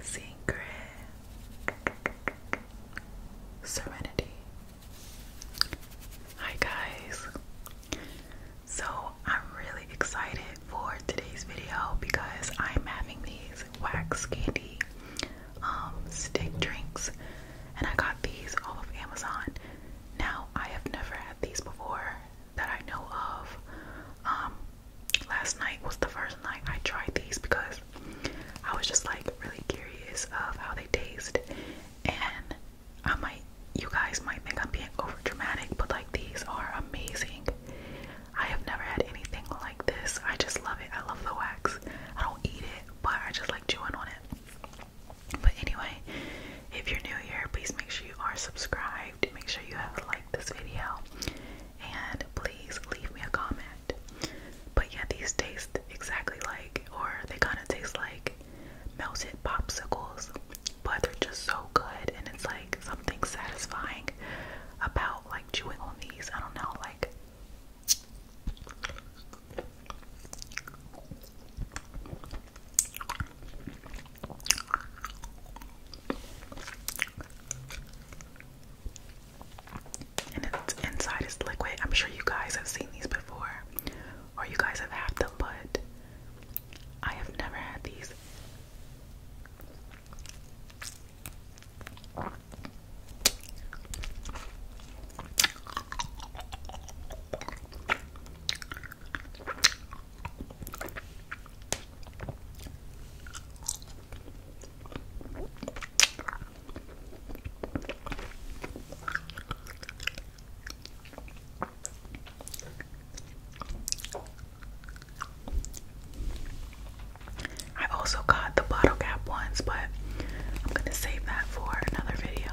Secret Serenity. Hi, guys. So, I'm really excited for today's video because I'm having these wax candy um, stick drinks, and I got these off of Amazon. Now, I have never had these before that I know of. Um, last night was the first night I tried these because I was just like really curious of how they taste, and I might, you guys might think I'm being over dramatic, but like these are amazing. I have never had anything like this. I just love it. I love the wax. I don't eat it, but I just like chewing on it. But anyway, if you're new here, please make sure you are subscribed. Make sure you have liked this video. And please leave me a comment. But yeah, these taste exactly like, or they kind of taste like melted popsicles, but they're just so good. And it's like something satisfying about like chewing on these. I don't know, like. And it's inside is liquid. I'm sure you guys have seen these before, or you guys have had them, but I have never had these i also got the bottle cap ones, but I'm going to save that for another video.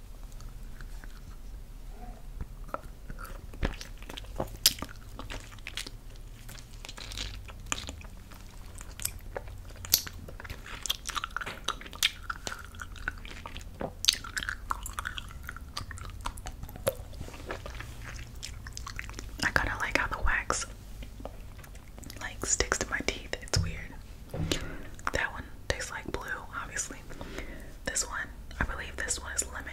I kind of like how the wax like sticks to my teeth. It's weird. That one tastes like blue, obviously. This one, I believe this one is lemon.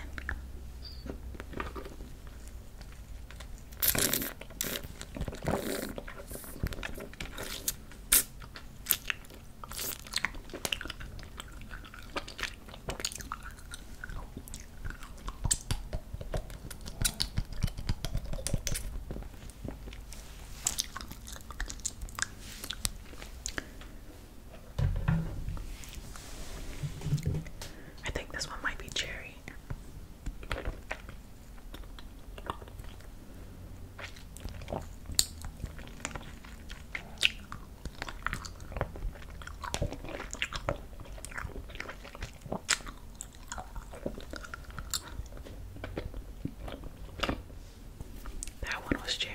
I think this one might be cherry. That one was cherry.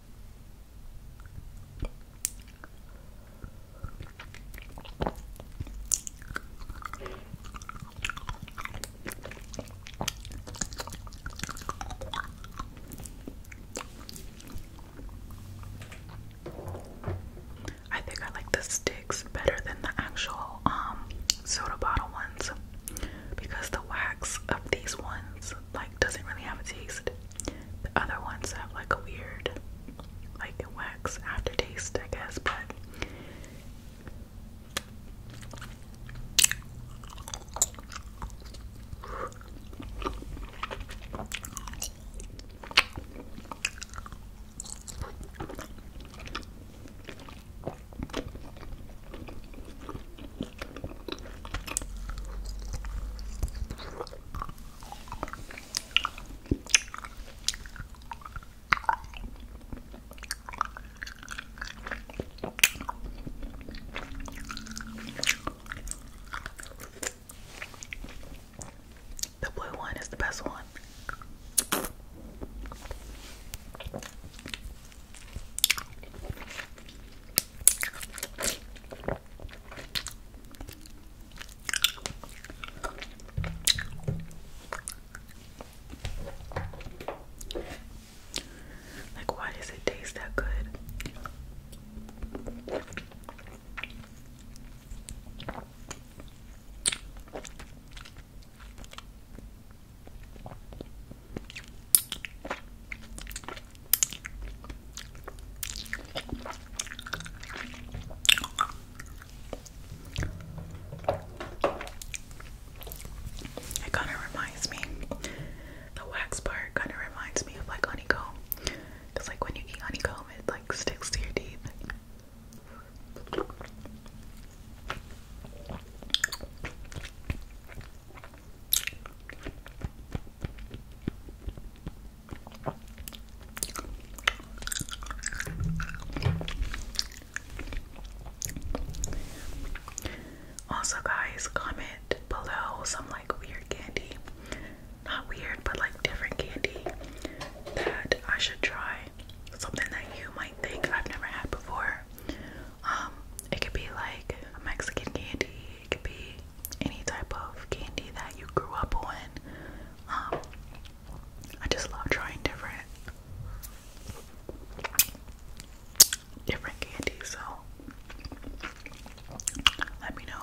I think I like the sticks better than the actual um, soda bottle ones because the wax of these ones like doesn't really have a taste. The other ones have like a weird like a wax aftertaste, I guess, but the blue one is the best one. Like, why does it taste that good? It kind of reminds me, the wax part kind of reminds me of like honeycomb. Because, like, when you eat honeycomb, it like sticks to your teeth. Also, guys, comment below some like weird candy. Not weird, but like different candy that I should try. Something that you might think I've never had before. Um, it could be like Mexican candy, it could be any type of candy that you grew up on. Um, I just love trying different different candy, so let me know.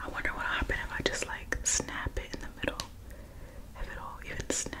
I wonder what happened if I just like snap it in the middle. If it'll even snap.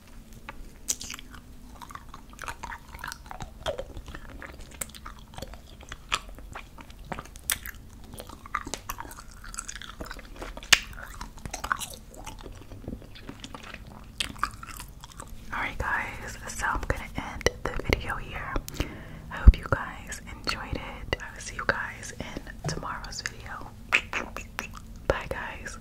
Alright, guys, so I'm gonna end the video here. I hope you guys enjoyed it. I will see you guys in tomorrow's video. Bye, guys.